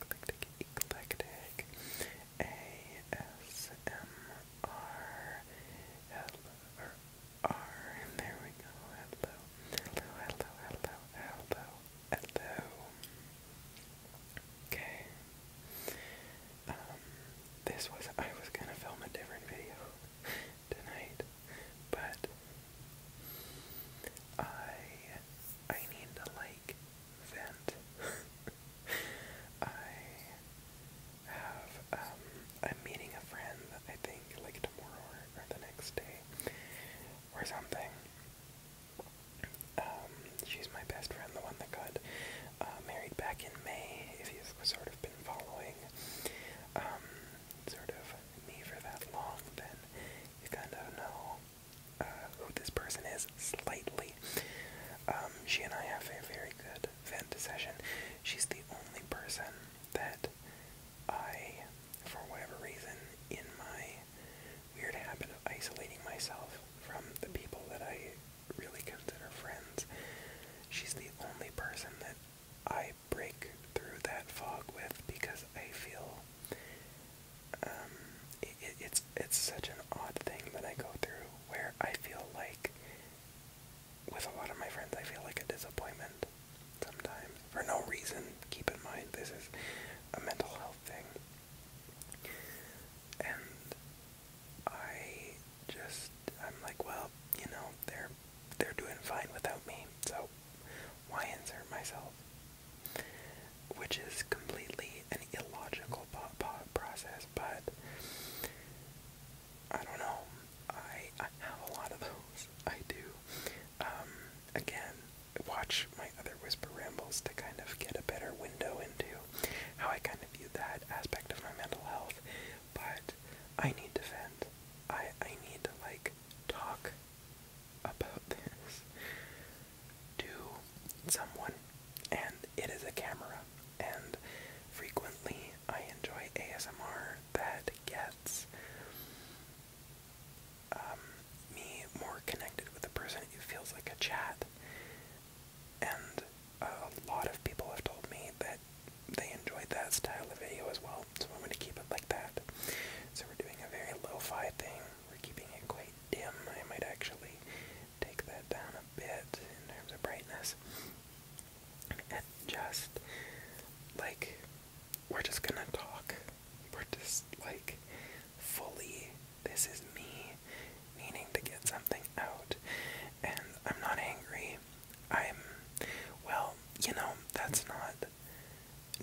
eclectic, eclectic, ASMR, hello, hello, hello, hello, hello, hello. Okay. Um, this was, I was gonna film a different video tonight, but I, I need to like vent. I have I'm um, meeting a friend. I think like tomorrow or, the next day or something. Um, she's my best friend, the one that got uh, married back in May. If you've sort of been following, um, sort of me for that long, then you kind of know who this person is slightly. Um, she and I have a very good vent session. She's the only person that I, for whatever reason, in my weird habit of isolating myself from the people that I really consider friends, she's the only person that I break through that fog with because I feel um, it's it's such an odd thing that I go through where I feel like with a lot of my friends I feel like a disappointment sometimes for no reason. Keep in mind this is a mental health thing, and I just I'm like, well, you know, they're they're doing fine without me, so why insert myself which is completely an illogical process, but I don't know. I, have a lot of those. I do. Um, again, watch my other Whisper Rambles to kind of get a better window into how I kind of view that aspect of my mental health, but I need to vent. I, I need to, like, talk about this to someone, and it is a camera. And frequently, I enjoy ASMR that gets um, me more connected with the person. It feels like a chat. And a lot of people have told me that they enjoyed that style of video as well, so I'm going to keep it like that. So we're doing a very lo-fi thing. We're keeping it quite dim. I might actually take that down a bit in terms of brightness. And just like we're just gonna talk. We're just like fully this is me needing to get something out. And I'm not angry. I'm well, you know, that's not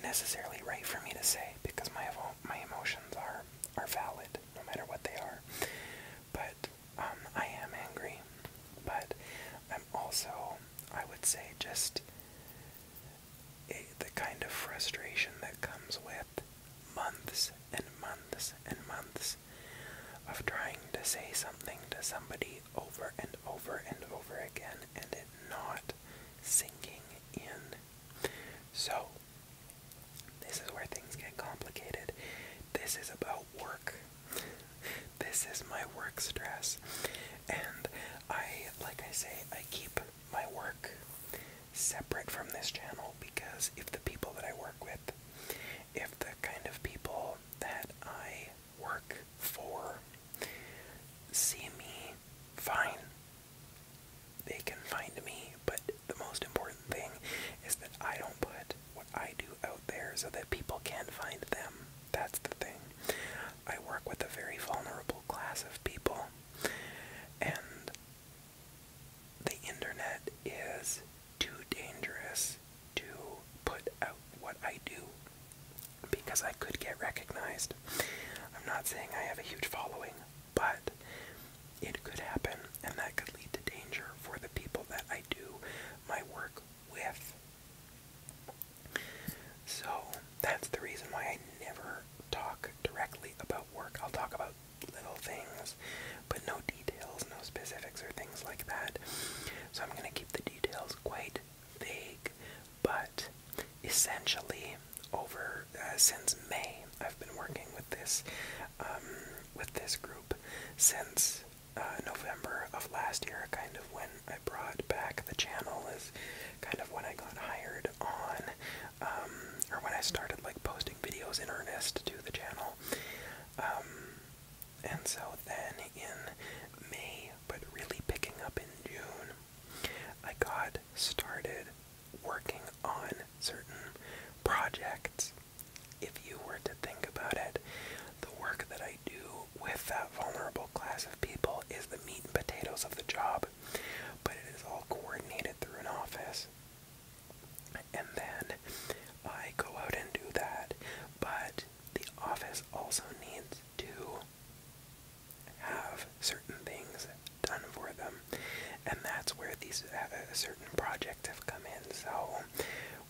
necessarily right for me to say because my my emotions are are valid, no matter what they are. But um, I am angry, but I'm also, I would say, just the kind of frustration that comes with months and months and months of trying to say something to somebody over and over and over again and it not sinking in. So, this is where things get complicated. This is about work. this is my work stress. And I, like I say, I keep my work separate from this channel because if the people that I work with, if the kind of people that I work for see me, fine they can find me, but the most important thing is that I don't put what I do out there so that people can find them. That's the thing. I work with a very vulnerable class of people, and the internet is too dangerous to put out what I do because I could get recognized. I'm not saying I have a huge following, but it could happen, and that could lead to danger for the people that I do my work with. So that's the reason why I never talk directly about work. I'll talk about little things, but no details, no specifics, or things like that. So I'm going to keep the details quite vague, but essentially, over uh, since May, I've been working with this um, with this group since uh, November of last year, kind of when I brought back the channel, is kind of when I got hired on, um, or when I started like posting videos in earnest to the channel. Um, and so then in May, but really picking up in June, I got started working on certain projects. If you were to think about it, the work that I do with that vulnerable class of people is the meat and potatoes of the job, but it is all coordinated through an office. And then I go out and do that, but the office also needs to have certain things done for them. And that's where these uh, certain projects have come in. So,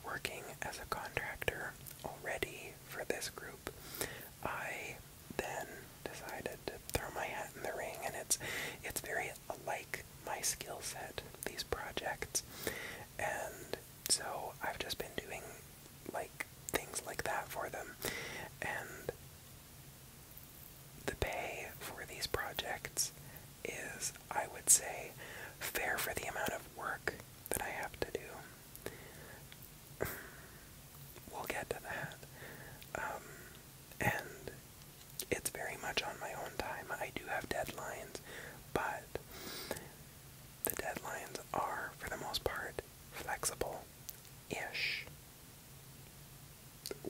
working as a contractor already for this group, I then decided to throw my hat in the ring, and it's it's very alike my skill set. These projects, and so I've just been doing like things like that for them, and the pay for these projects is, I would say, fair for the amount of work that I have to do. we'll get to that. Um, and it's very much on my own time. I do have deadlines, but the deadlines are, for the most part, flexible ish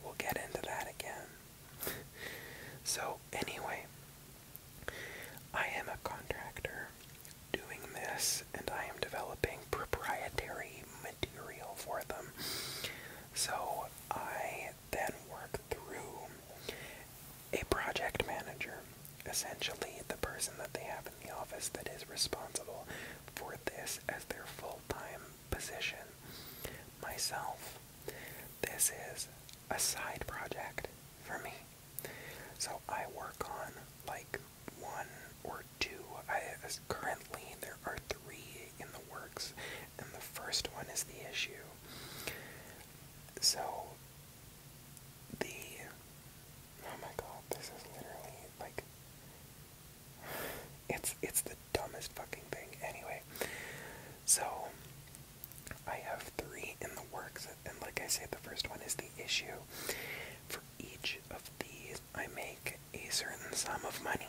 we'll get into that again. so, anyway, I am a contractor doing this and I am developing proprietary material for them. So, I then work through a project manager, essentially the person that they have in the office that is responsible for this as their full time position. Myself, this is a side project for me. So I work on like one or two. I currently there are three in the works, and the first one is the issue. So the oh my god, this is literally like it's it's the dumbest fucking thing. Anyway, so I have three in the works, and like I said, the first one is the issue. For each of these, I make a certain sum of money,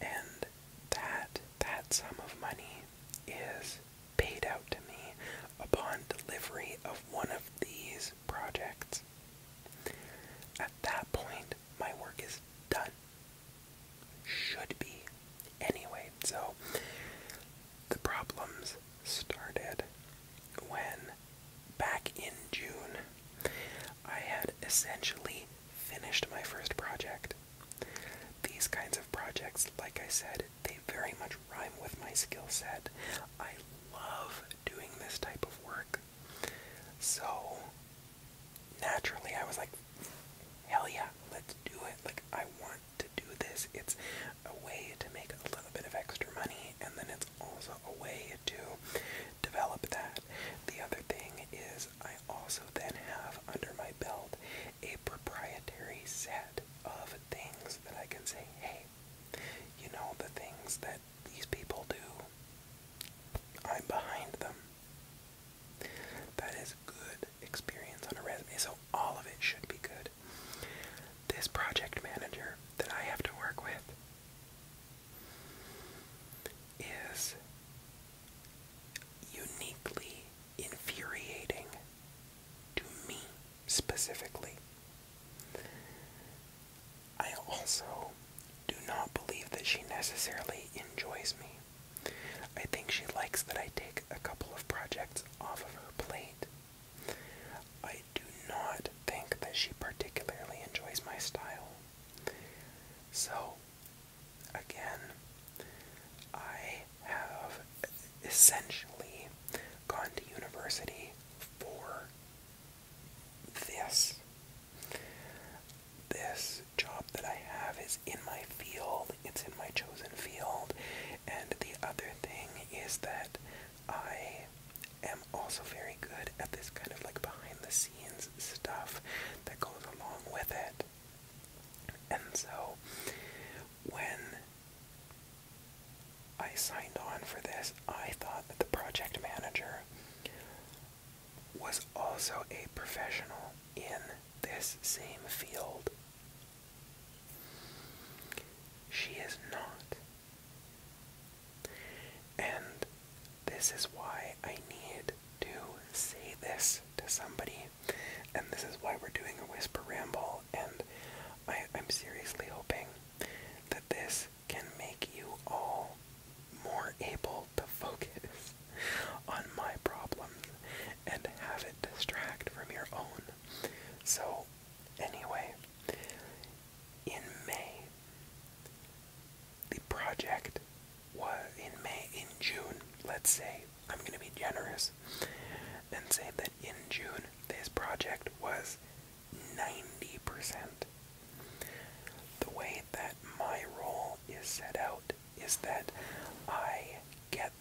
and that that sum of money is paid out to me upon delivery of one of these projects. At that point, my work is done should be. Anyway, so the problems started when back in June I had essentially finished my first project. These kinds of projects, like I said, they very much rhyme with my skill set. I love doing this type of work. So naturally I was like, hell yeah, let's do it. Like, I want to do this. It's a way to make a little bit of extra money, and then it's also a way to develop that. The other thing is, I also then have under my belt a proprietary set of things that I can say, hey, you know, the things that these people do, I'm behind them. That is good experience on a resume, so all of it should be good. This project manager that I have to work with is uniquely infuriating to me specifically. I also do not believe that she necessarily enjoys me. I think she likes that I take a couple of projects off of her plate. I do not think that she particularly enjoys my style. So, again, I have essentially gone to university for this this job that I have is in my field, it's in my chosen field, and the other thing is that I am also very good at this kind of like behind the scenes stuff that goes along with it. And so when I signed on for this, I thought that the project manager was also a professional in this same field. She is not. And this is why I need to say this to somebody. And this is why we're doing a whisper ramble. And I, am seriously hoping that this can make you all more able to focus on my problems and have it distract from your own. So, anyway, in May, the project was in May, in June, let's say, I'm going to be generous and say that in June, this project was 90%. The way that my role is set out is that I get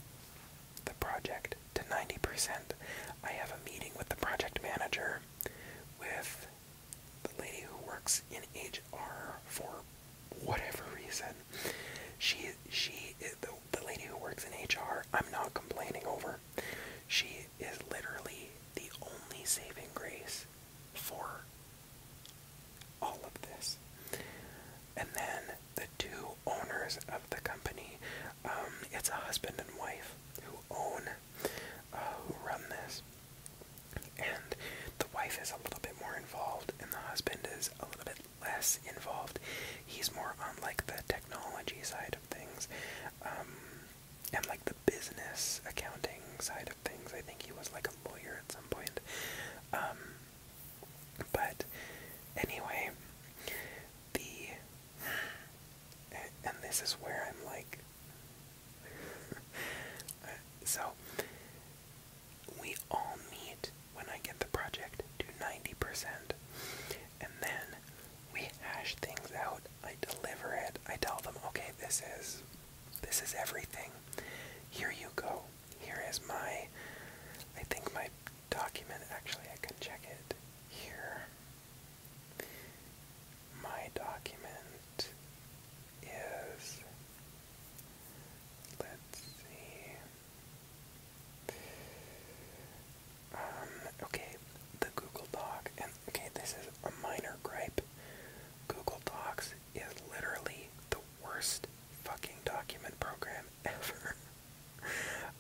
the project to 90%. I have a meeting with the project manager, with the lady who works in HR for whatever reason. She, she, the, the lady who works in HR, I'm not complaining over. She is literally the only saving grace for all of this. And then the two owners of the company, um, it's a husband and wife who own, uh, who run this. And the wife is a little bit more involved, and the husband is a little bit less involved. He's more on like the technology side of things, um, and like the business accounting side of things. I think he was like a lawyer at some point. Um, but anyway, the and this is where I'm like, so we all meet when I get the project to 90%, and then we hash things out. I deliver it. I tell them, okay, this is this is everything. Here you go. Here is my, I think my document, actually I can check it here. My document is, let's see, um, okay, the Google Doc, okay, this is a minor gripe. Google Docs is literally the worst fucking document program ever.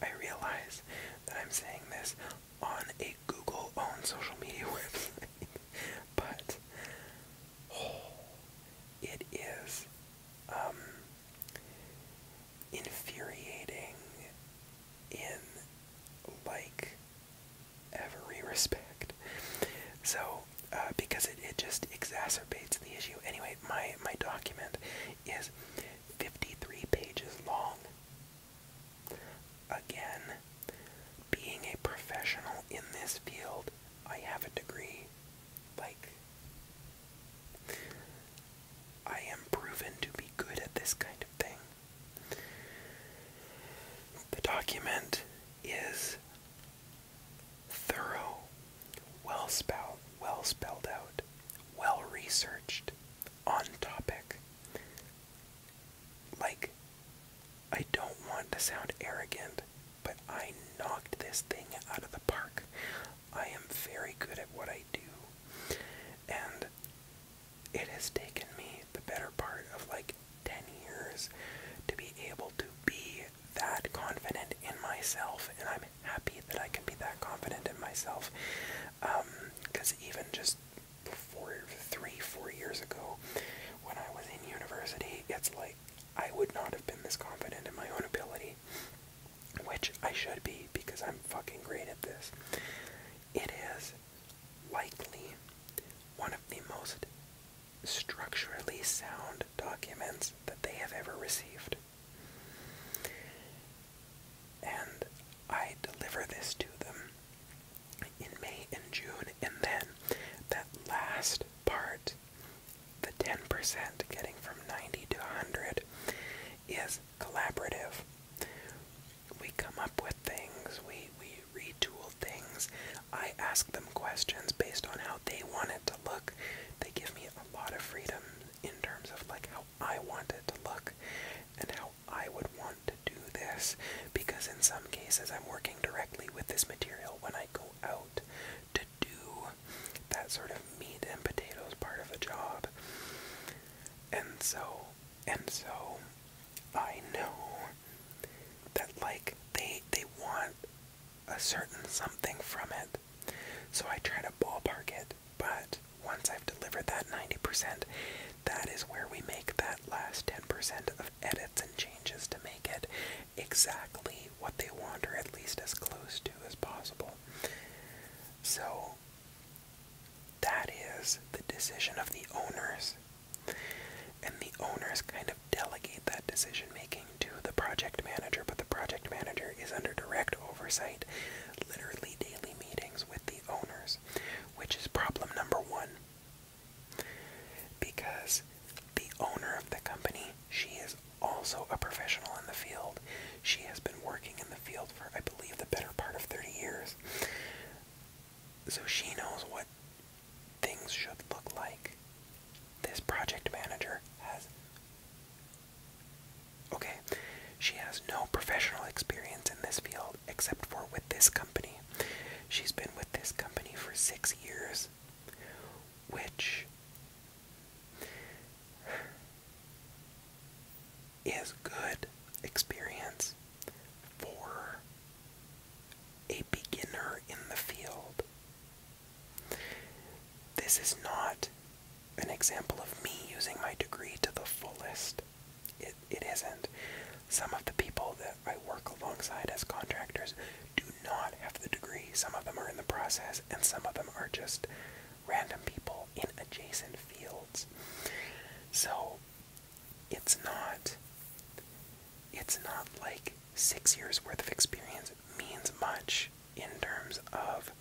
I realize that I'm saying this on a Google owned social media website, but oh, it is um, infuriating in like every respect. So uh, because it, it just exacerbates the issue. Anyway, my, my document is 53 pages long. Again, being a professional in this field, I have a degree. Like, I am proven to be good at this kind of thing. The document is Thorough, well spout, well spelled out, well researched, on topic. Like, I don't want to sound arrogant, but I knocked this thing out of the park. I am very good at what I do. And it has taken me the better part of like 10 years to be able to be that confident in myself, and I'm happy that I can be that confident in myself. Because um, even just four, three, four years ago, when I was in university, it's like I would not have been this confident in my own ability, which I should be because I'm fucking great at this. It is likely one of the most structurally sound documents that they have ever received. And I deliver this to them in May and June, and then that last part, the 10% getting from 90 to 100, is collaborative. We come up with things, we, we retool things. I ask them questions based on how how they want it to look. They give me a lot of freedom in terms of like how I want it to look and how I would want to do this because in some cases I'm working directly with this material when I go out to do that sort of meat and potatoes part of a job. And so and so I know that like they they want a certain something from it. So I try to ballpark it, but once I've delivered that 90%, that is where we make that last 10% of edits and changes to make it exactly what they want, or at least as close to as possible. So that is the decision of the owners. And the owners kind of delegate that decision making to the project manager, but the project manager is under direct oversight, literally daily meetings with the owners, which is problem number one. Because the owner of the company, she is also a professional in the field. She has been working in the field for, I believe, the better part of 30 years. So she knows what things should look like. This project manager has. Okay, she has no professional experience in this field except for with this company. She's been with this company for six years, which is good experience for a beginner in the field. This is not an example of me using my degree to the fullest. It, it isn't. Some of the people that I work alongside as contractors do not have the degree. Some of them are in the process, and some of them are just random people in adjacent fields. So it's not it's not like six years worth of experience means much in terms of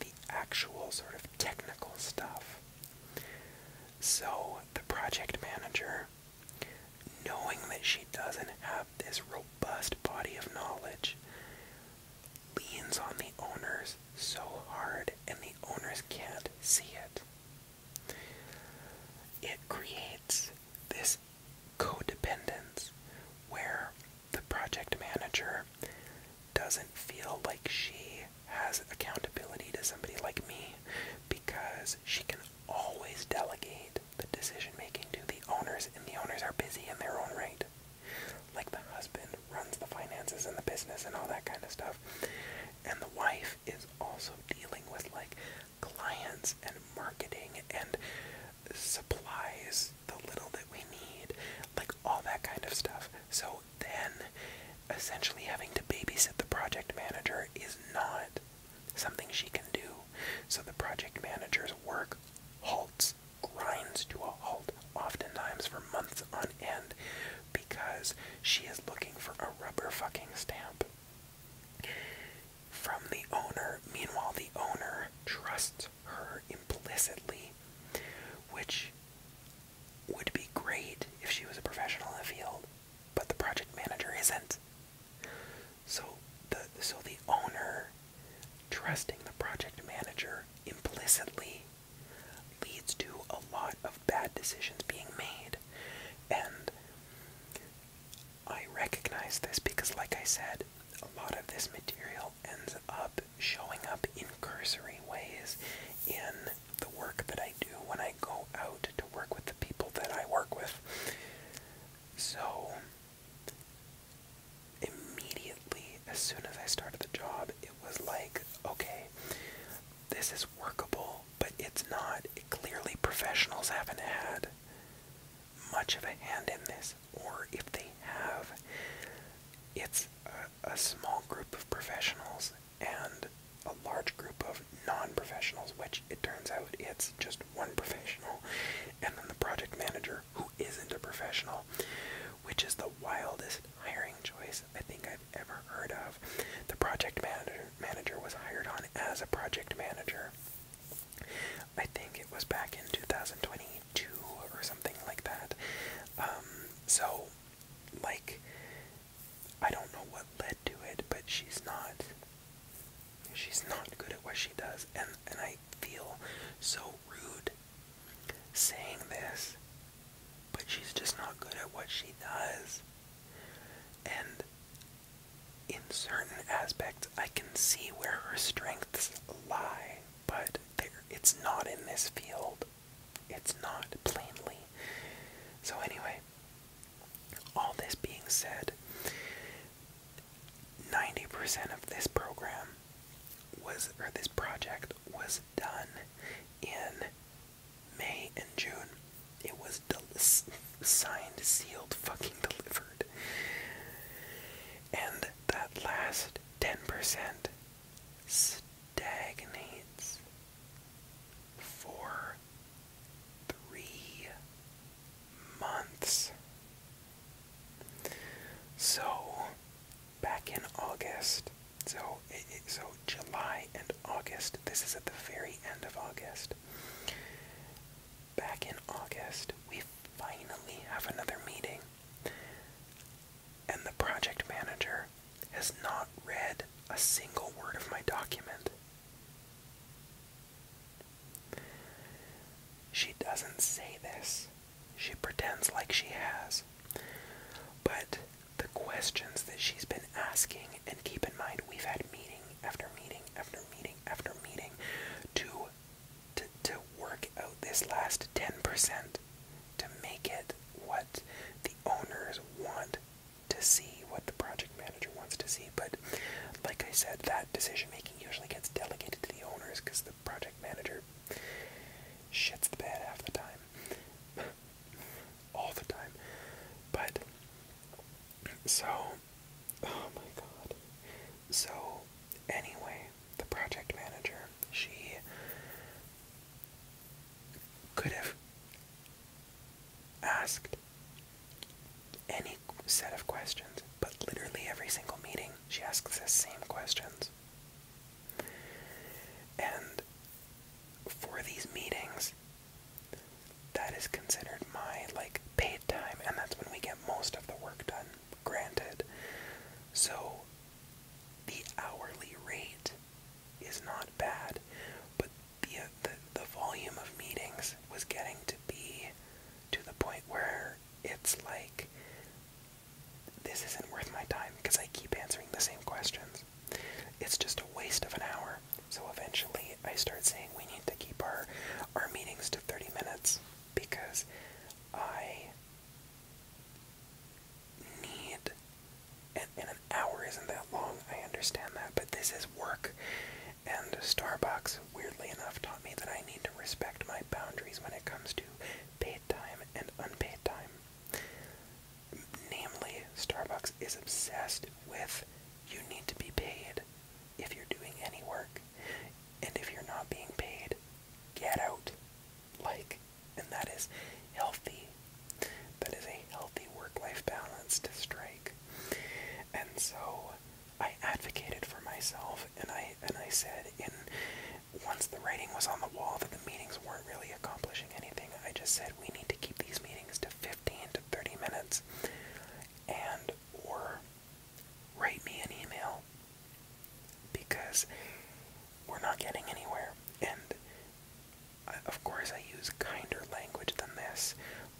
the actual sort of technical stuff. So the project manager, knowing that she doesn't have this robust body of knowledge, leans on the owners so hard and the owners can't see it. It creates this codependence where the project manager doesn't feel like she has accountability to somebody like me because she can always delegate the decision making to the owners, and the owners are busy in their own right. Like the husband runs the finances and the business and all that kind of stuff. And the wife is also dealing with like clients and marketing and supplies, the little that we need, like all that kind of stuff. So then, essentially, having to babysit the project manager is not something she can do. So the project manager's work halts, grinds to a halt, oftentimes for months on end, because she is looking for a rubber fucking stamp from the owner. Meanwhile, the owner trusts her implicitly, which would be great if she was a professional in the field, but the project manager isn't. So the so the owner trusting the project manager implicitly leads to a lot of bad decisions being made. And I recognize this because, like I said, a lot of this material ends up showing up in cursory ways in the work that I do when I go out to work with the people that I work with. So, immediately, as soon as I started the job, it was like, okay, this is workable, but it's not. clearly, professionals haven't had much of a hand in this, or if they have, it's a, small group of professionals and a large group of non professionals, which it turns out it's just one professional, and then the project manager who isn't a professional, which is the wildest hiring choice I think I've ever heard of. The project manager, manager was hired on as a project manager. I think it was back in 2022 or something like that. Um, so, like, I don't know what led to it, but she's not, she's not good at what she does, and and I feel so rude saying this, but she's just not good at what she does, and in certain aspects, I can see where her strengths lie, but it's not in this field. It's not plainly. So, anyway, all this being said, 90% of this program was, or this project was done in May and June. It was delicious signed, sealed, fucking delivered. And that last 10% stagnates for three months. So, back in August, so so July and August. This is at the very end of August. Back in August, we finally have another meeting, and the project manager has not read a single word of my document. She doesn't say this. She pretends like she has. But the questions that she's been asking, and keep in mind, we've had meeting after meeting after meeting after meeting to to to work out this last 10% to make it what the owners want to see, what the project manager wants to see. But like I said, that decision making usually gets delegated to the owners because the project manager shits the bed half the time. All the time. But so Oh my god. So, anyway, the project manager, she could have asked any set of questions, but literally every single meeting she asks the same questions. And for these meetings, that is considered my like like paid time, and that's when we get most of the work done, granted. So the hourly rate is not bad, but the, uh, the, the volume of meetings was getting to be to the point where it's like, this isn't worth my time because I keep answering the same questions. It's just a waste of an hour. So eventually I start saying we need to keep our, our meetings to 30 minutes because I need and, an hour isn't that long, I understand that, but this is work. And Starbucks, weirdly enough, taught me that I need to respect my boundaries when it comes to paid time and unpaid time. Namely, Starbucks is obsessed with you need to be paid if you're doing any work. And if you're not being paid, get out. Like, and that is healthy. That is a healthy work life balance to strike. And so I advocated for myself and I and I said in once the writing was on the wall that the meetings weren't really accomplishing anything, I just said we need to keep these meetings to 15 to 30 minutes and or write me an email because we're not getting anywhere. And of course, I use kinder language than this,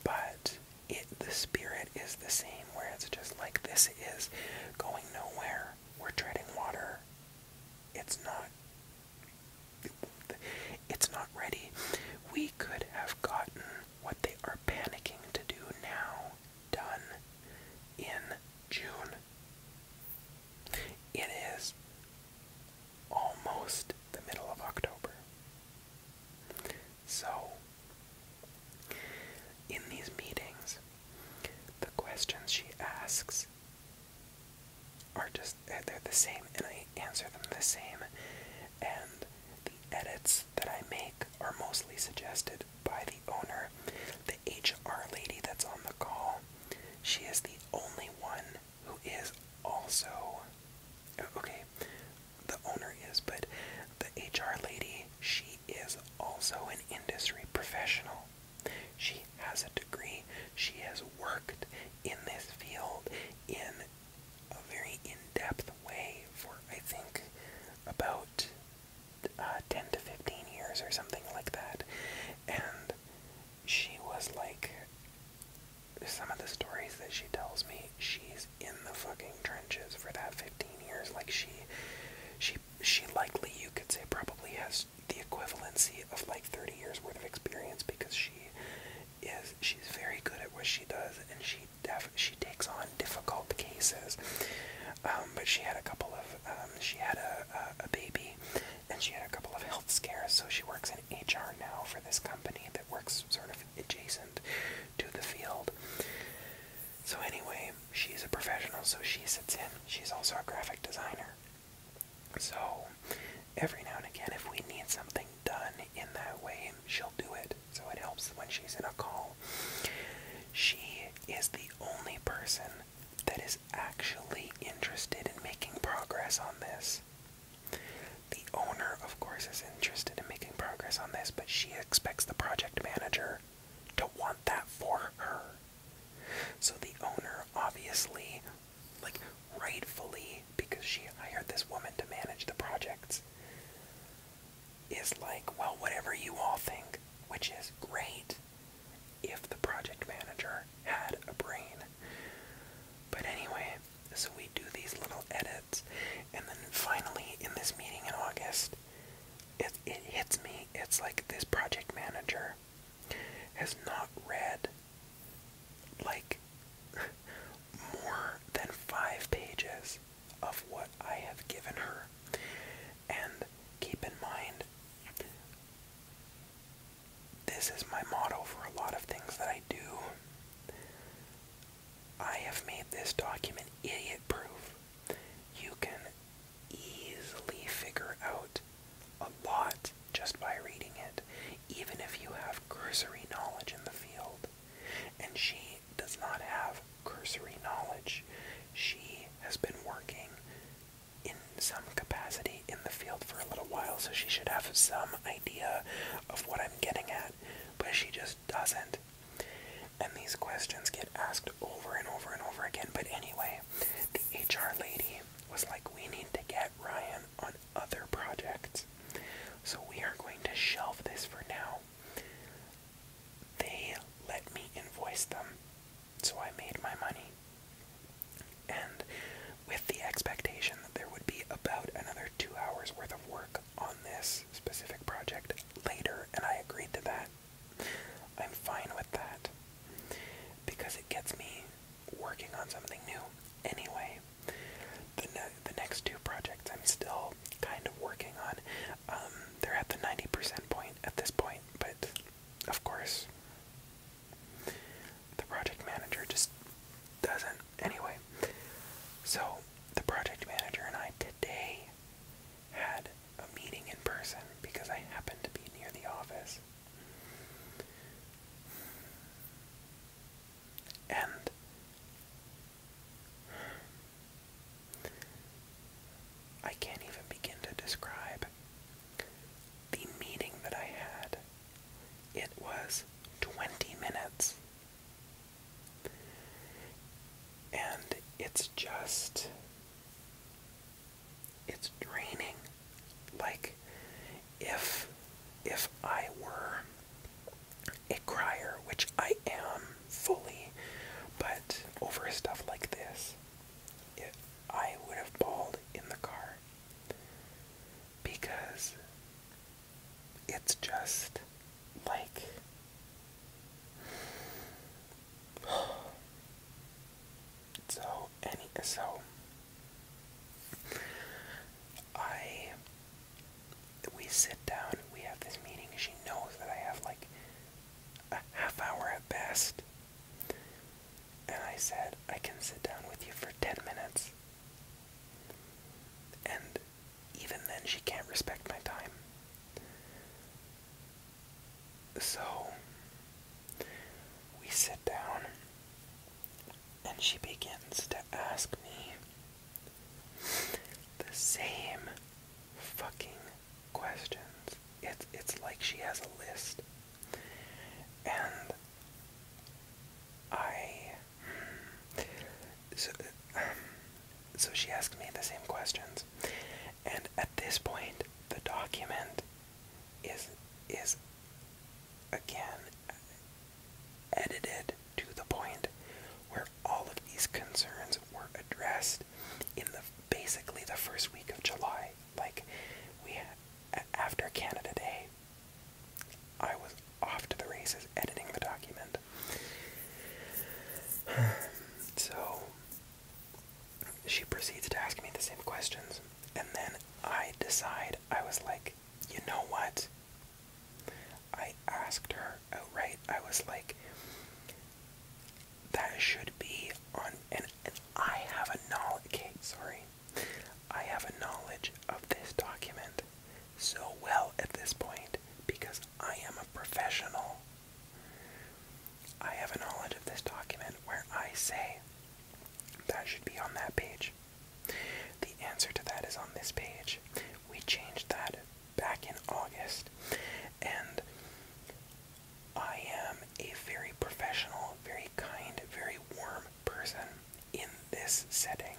but it the spirit is the same. Where it's just like this is going nowhere. We're treading water. It's not. It's not ready. We could have gotten what they are panicking to do now done in June. It is almost the middle of October. So, in these meetings, the questions she asks are just, they're the same, and I answer them the same, and the edits that I make are mostly suggested by the owner, the HR lady that's on the call. She is the only one who is also. Oh, okay, the owner is, but the HR lady, she is also an industry professional. She has a degree, she has worked in this field in a very in depth way for, I think, about uh, 10 to 15 years or something like that. And she was like, some of the stories that she tells me, she's in the fucking trenches for that 15 years. Like she, she, she likely, you could say, probably has the equivalency of like 30 years worth of experience because she is, she's very good at what she does and she she takes on difficult cases. Um, but she had a couple of um, she had a, a, a baby, and she had a couple of health scares. So she works in HR now for this company that works sort of adjacent to the field. So anyway, she's a professional, so she sits in. She's also a graphic designer. So every now and again, if we need something done in that way, she'll do it. So it helps when she's in a call. She is the only person that is actually interested in making progress on this. The owner, of course, is interested in making progress on this, but she expects the project manager to want that for her. So the owner, obviously, like rightfully, because she hired this woman to manage the projects, is like, well, whatever you all think, which is great if the project manager had a brain. But anyway, so we do these little edits, and then finally in this meeting in August, it, it hits me. It's like this project manager has not read like more than five pages of what I have given her. And keep in mind, this is my motto for a lot of things that I do. I have made this document idiot proof. You can easily figure out a lot just by reading it, even if you have cursory knowledge in the field. And she does not have cursory knowledge. She has been working in some capacity in the field for a little while, so she should have some idea of what I'm getting at, but she just doesn't. And these questions get asked over and over and over again. But anyway, the HR lady was like, we need to get Ryan on other projects. So we are going to shelve this for now. They let me invoice them, so I made my money. And with the expectation that there would be about another two hours worth of work on this specific project later, and I agreed to that. I'm fine with that because it gets me working on something new anyway. The, the next two projects I'm still kind of working on. Um, they're at the 90% point at this point, but of course, the project manager just doesn't. Anyway, so the project manager and I today had a meeting in person because I happened to be near the office. And I can't even begin to describe the meeting that I had. It was 20 minutes. And it's just. It's draining. Like, if. If I were a crier, which I am fully, but over stuff like this, it, I would have bawled in the car because it's just like. So any so I we sit down, we have this meeting. She knows that I have like a half hour at best. And I said, I can sit down with you for 10 minutes. And even then, she can't respect my time. So, we sit down, and she begins to ask me the same fucking questions. It's it's like she has a list. And I so, so she asked me the same questions. And at this point, the document is is again edited to the point where all of these concerns were addressed in the basically the first week of July. Like we had, after Canada Day, I was off to the races editing the document. So she proceeds to ask me the same questions, and then I decide I was like, you know what? I asked her outright. I was like, that should be on and, I have a knowledge sorry. I have a knowledge of this document so well at this point because I am a professional. I have a knowledge of this document where I say that should be on that page. The answer to that is on this page. We changed that back in August, and I am a very professional, very kind, very warm person in this setting,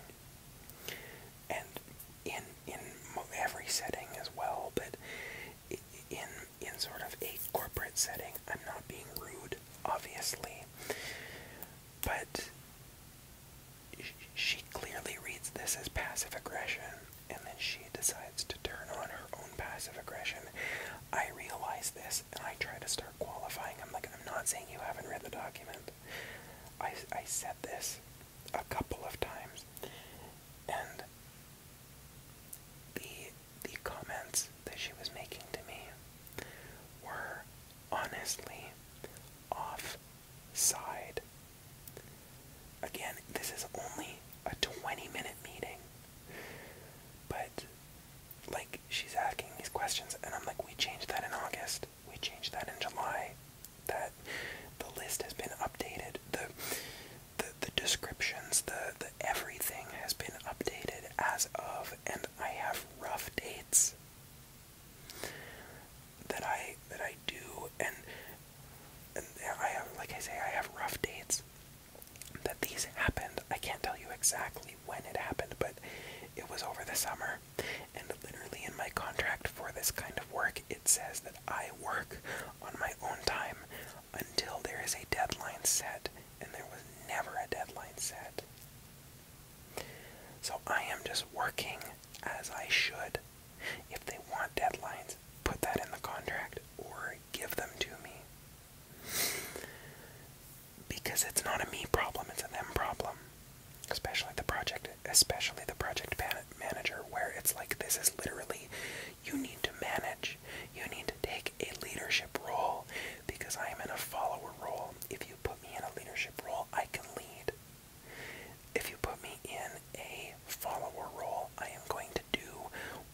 and in in every setting as well. But in in sort of a corporate setting, I'm not being rude, obviously, but she clearly reads this as passive aggression and then she decides to turn on her own passive aggression. I realize this and I try to start qualifying. I'm like, I'm not saying you haven't read the document. I, I said this a couple of times, and the the comments that she was making to me were honestly off side. Again, this is only a 20 minute meeting. But, like, she's asking these questions, and I'm like, we changed that in August, we changed that in July, that the list has been updated, the, the, descriptions, the, the everything has been updated as of, and I have rough dates that I that I do, and and I have, like I say, I have rough dates that these happened. I can't tell you exactly when it happened, but it was over the summer, and literally in my contract for this kind of work, it says that I work on my own time until there is a deadline set, and there was never a deadline set. So I am just working as I should if they want deadlines, put that in the contract or give them to me. Because it's not a me problem, it's a them problem. Especially the project, especially the project manager, where it's like this is literally, you need to manage, you need to take a leadership role, because I am in a follower role. If you put me in a leadership role, I can lead. If you put me in a follower role, I am going to do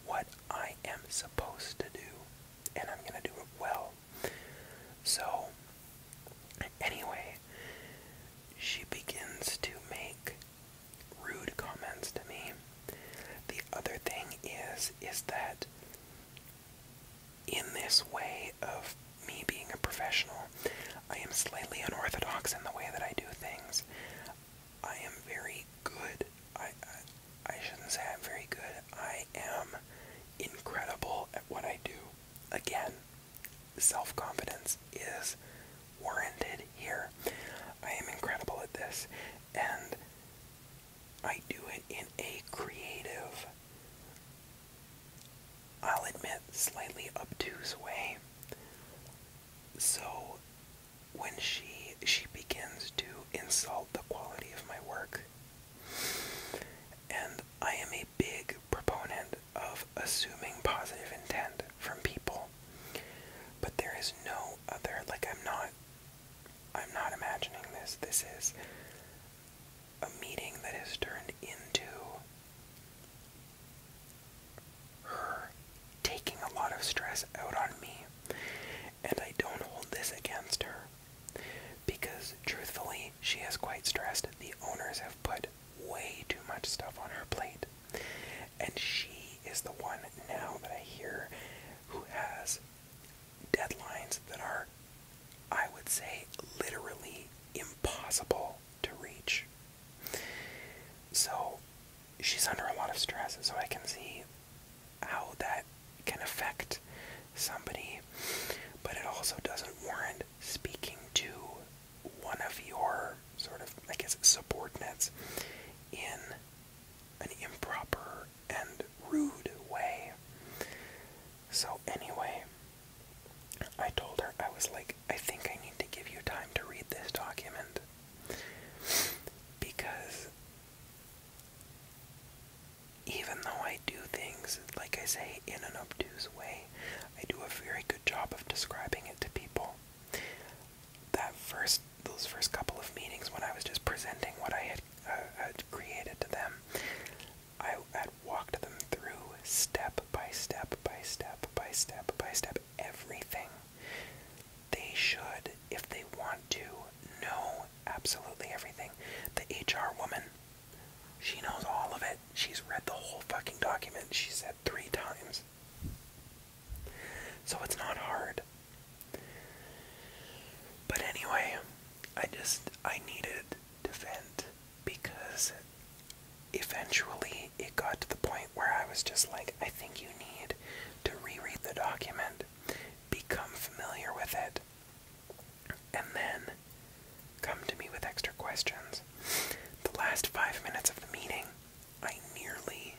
what I am supposed to do, and I'm going to do it well. So, anyway, she begins to make rude comments to me. The other thing is is that in this way of me being a professional, I am slightly unorthodox in the way that I do things. I am very good. I, I shouldn't say I'm very good. I am incredible at what I do. Again, self-confidence is warranted here. I am incredible at this and I do it in a creative I'll admit slightly obtuse way so when she she begins to insult the quality of my work and I am a big proponent of assuming positive intent from people but there is no other like I'm not I'm not imagining this this is a meeting that has turned into her taking a lot of stress out on me. And I don't hold this against her. Because truthfully, she is quite stressed. The owners have put way too much stuff on her plate. And she is the one now that I hear who has deadlines that are, I would say, literally impossible to reach. So she's under a lot of stress, so I can see how that can affect somebody, but it also doesn't warrant speaking to one of your sort of, I guess, subordinates in an improper and rude way. So, anyway, I told her, I was like, I think I need to give you time to read this document. Because even though I do things, like I say, in an obtuse way, I do a very good job of describing it to people. That first, those first couple of meetings when I was just presenting what I had, uh, had created to them, I had walked them through step by step by step by step by step everything. They should, if they want to, know absolutely everything. The HR woman, she knows all of it. She's read the whole fucking document, she said three times. So it's not hard. But anyway, I just, I needed to vent because eventually it got to the point where I was just like, I think you need to reread the document, become familiar with it, and then come to me with extra questions. The last five minutes of the meeting, I nearly.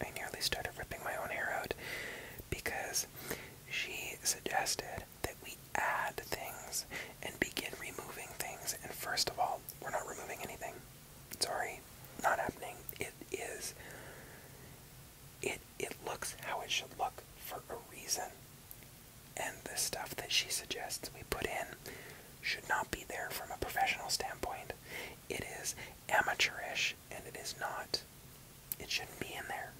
I nearly started ripping my own hair out because she suggested that we add things and begin removing things. And first of all, um, we're not removing anything. Sorry, not happening. It is. It it looks how it should look for a reason. And the stuff that she suggests we put in should not be there from a professional standpoint. It is amateurish and it is not. It shouldn't be in there.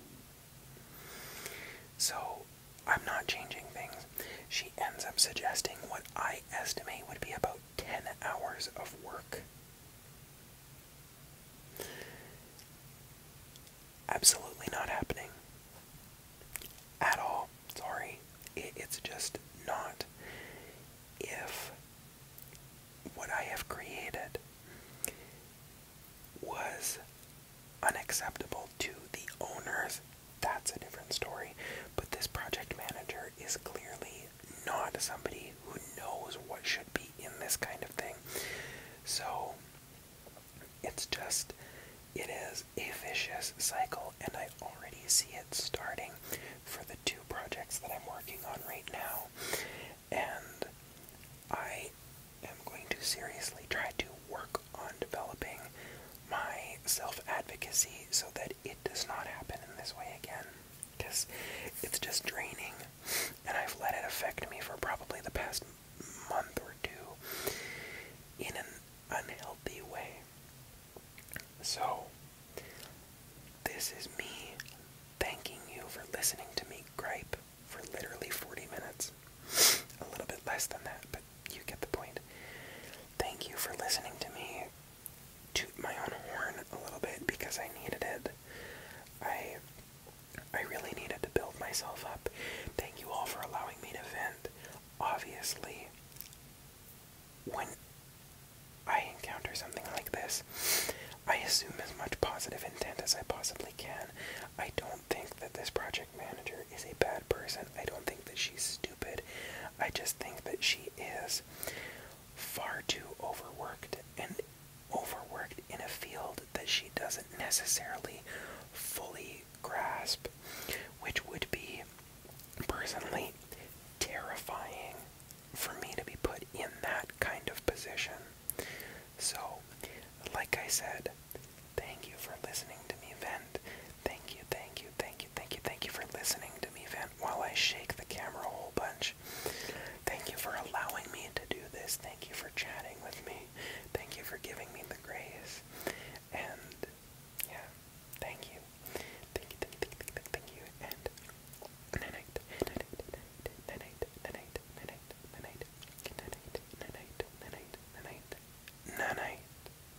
So I'm not changing things. She ends up suggesting what I estimate would be about 10 hours of work. Absolutely not happening. At all. Sorry. it's just not. If what I have created was unacceptable to the owners that's a different story. But this project manager is clearly not somebody who knows what should be in this kind of thing. So it's just, it is a vicious cycle, and I already see it starting for the two projects that I'm working on right now. And I am going to seriously try to work on developing my self advocacy so that it does not happen in this way again. Because it's just draining, and I've let it affect me for probably the past month or two in an unhealthy way. So, this is me thanking you for listening to me gripe for literally 40 minutes. A little bit less than that, but you get the point. Thank you for listening to me toot my own horn a little bit because I needed it. I I really needed to build myself up. Thank you all for allowing me to vent. Obviously, when I encounter something like this, I assume as much positive intent as I possibly can. I don't think that this project manager is a bad person. I don't think that she's stupid. I just think that she is far too overworked and overworked in a field that she doesn't necessarily fully grasp, which would be personally terrifying for me to be put in that kind of position. So, like I said, thank you for listening listening to me vent. Thank you, thank you, thank you, thank you, thank you for listening to me vent while I shake the camera a whole bunch. Thank you for allowing me to do this. Thank you for chatting with me. Thank you for giving me the grace. And yeah, thank you. Thank you, thank you, thank you, thank you, thank you. And night, night, night, night, night, night, night, night, night, night, night, night, night, night, night, night, night.